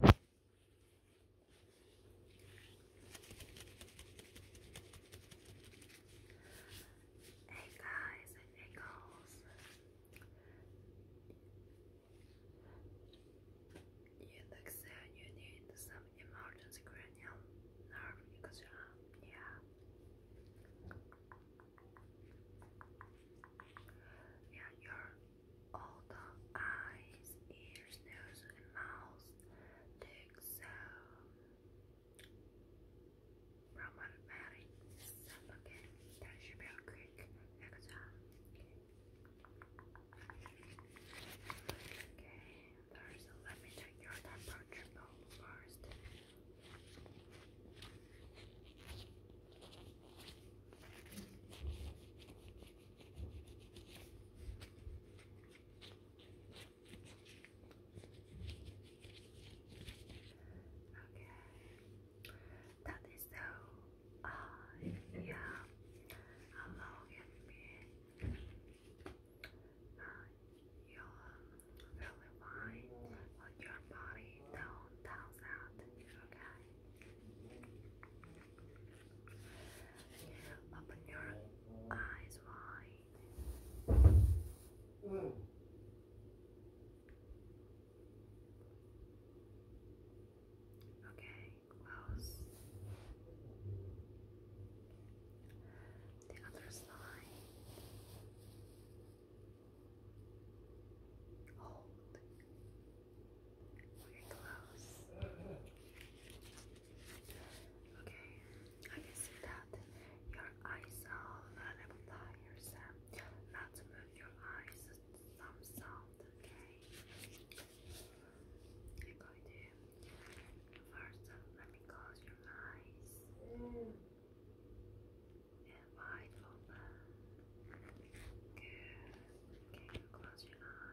Hey guys and girls. You look sad, you need some emergency cranial nerve extra. Yeah. Yeah, your all the eyes, ears, nose, and mouth. Dig so. Problematic. So, okay, that should be quick exam. Okay, first let me check your temperature first. Okay, that is so. Uh, yeah, hello, can be. Uh, you're um, really fine, but your body don't tell that. Okay. Open your eyes wide. Okay, close. The other side. Hold we close. Okay, I can see that your eyes are a little tired, Sam. Not move your eyes, some sound, okay? I'm to. First, uh, let me close your eyes. And wide open. Good. Okay, close your eyes.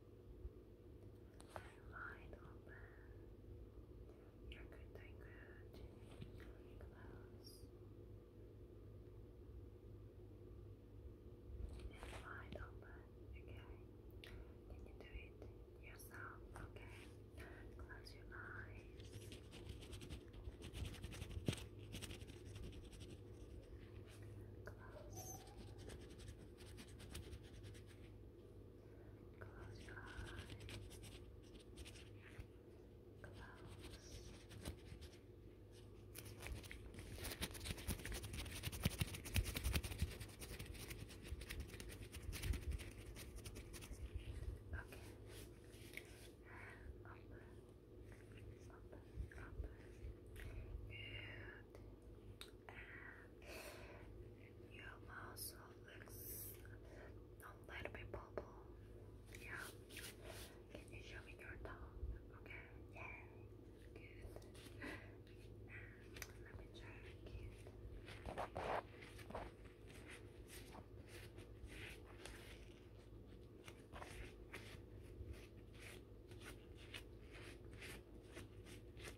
i open. You're good, doing good. Close. And open. Okay. Can you do it yourself? Okay. Close your eyes. Close. Close your eyes. Close. Okay. Up, up, up and your mouth looks not let me bubble. Yeah. Can you show me your tongue? Okay. Yeah. Good. let me check it.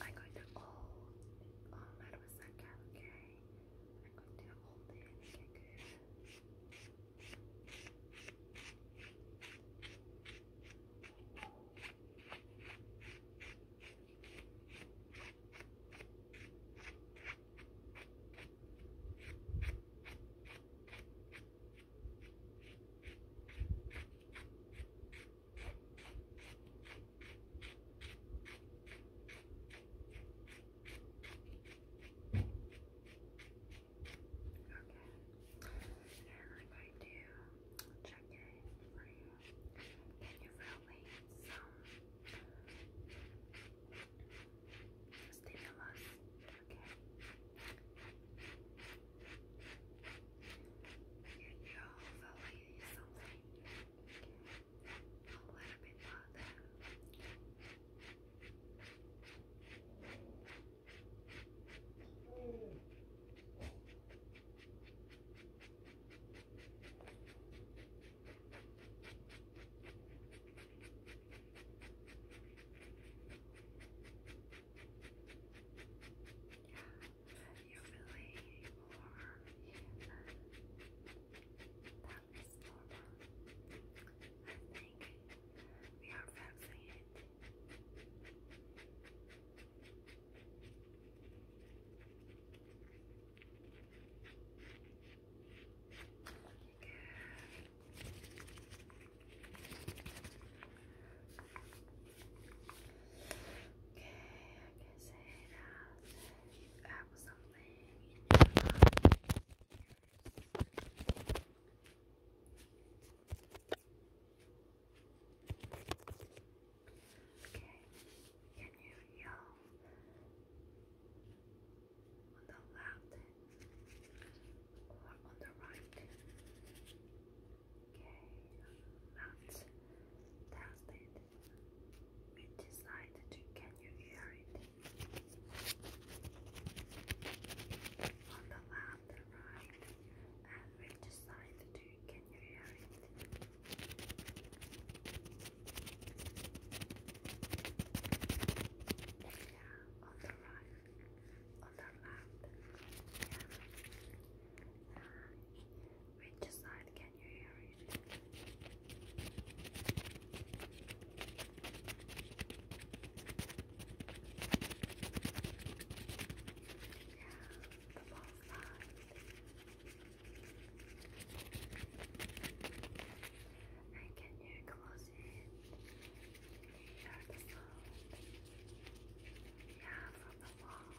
I'm going to all, oh, all that was that cat, okay? I'm going to hold and I'm going to check it for you. Can you relate some stimulus? Okay. Here you go, hopefully something a little bit further you really are, that is normal. I think we are facing it. Good. Okay, I can say that you have something in your mind. Okay, can you yell on the left or on the right? Okay, that's tested. We decided to can you hear it? On the left, right, and we decided to can you hear it? Yeah, on the right, on the left, yeah. Which side can you hear it? Yeah, the ball side. can you close it? Yeah, from the wall.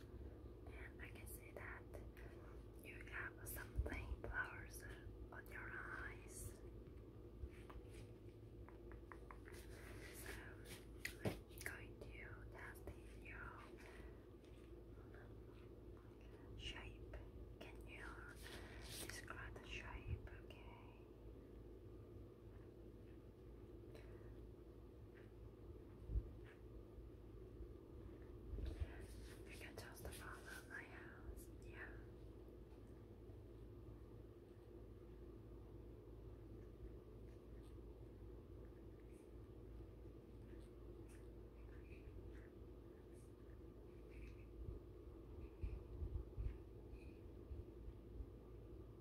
and I can see that you have something flowers on your eyes. So going to test your shape. Can you describe the shape? Okay. You can just follow my house, yeah.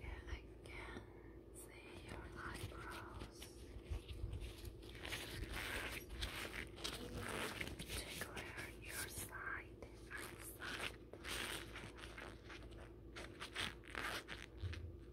Yeah, I can see your eyebrows tickler your side and side.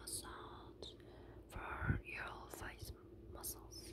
massage for your face muscles.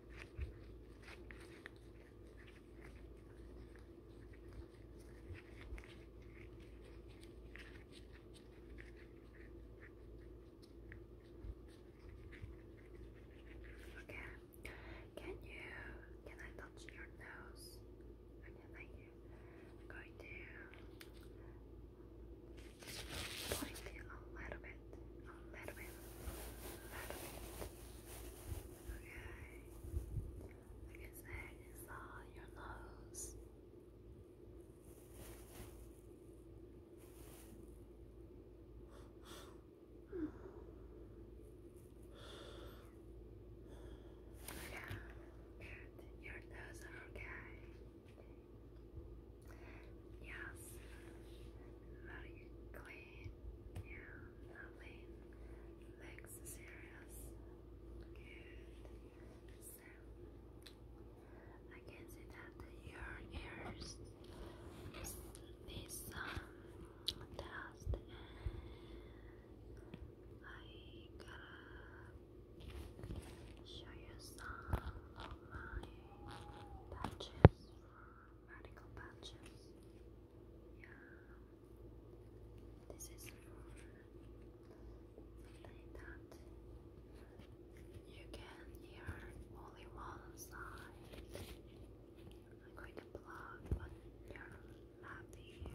Okay. Can you can I touch your nose? Okay, thank you. going to point it a little bit bit, a little bit, a little bit. Okay. I said, it's all your nose. Yeah, good. Your nose are okay. Yes, very clean. Nothing. Yeah, nothing. Legs serious. I can see that your ears need some dust I got show you some of my patches radical patches. Yeah. This is something that you can hear only one side. I'm going to plug on your here.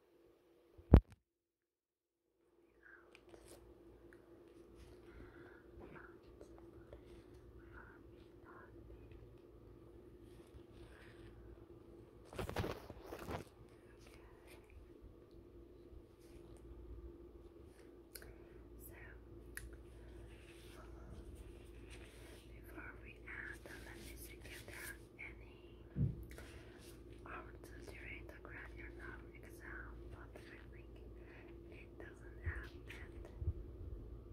before we add the let me see if there are any answer during the graduate exam, but I think it doesn't happen. Okay.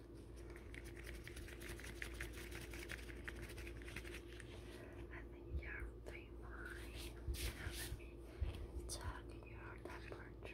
I think you fine. let me check your temperature.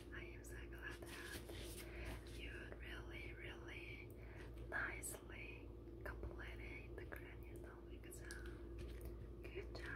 I am so glad that you really, really nicely completed the cranial exam. Good job.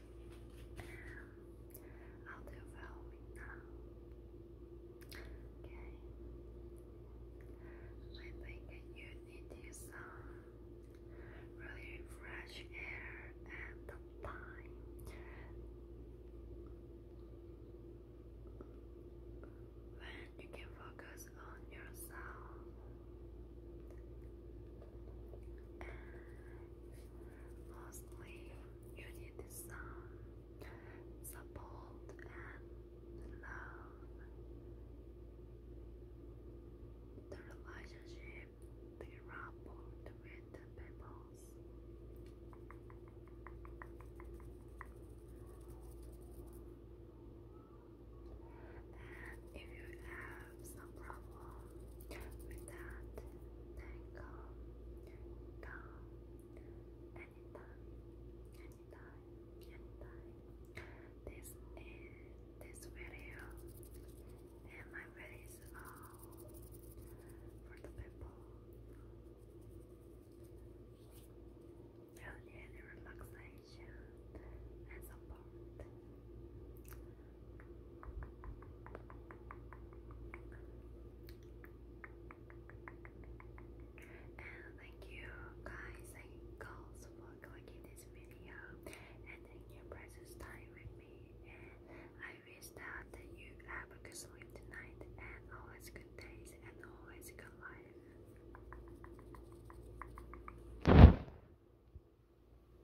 I'll do Halloween now. Okay. I think you need some really fresh air and time. When you can focus on yourself. And you need some support and love. The relationship, the rapport with the And if you have have some problem with that tangle down anytime, anytime, anytime. This is this video and my video is all for the people who need relaxation and support thank you guys and girls for clicking this video and taking precious time with me. And I wish that you have a good sleep tonight and always good days and always good life.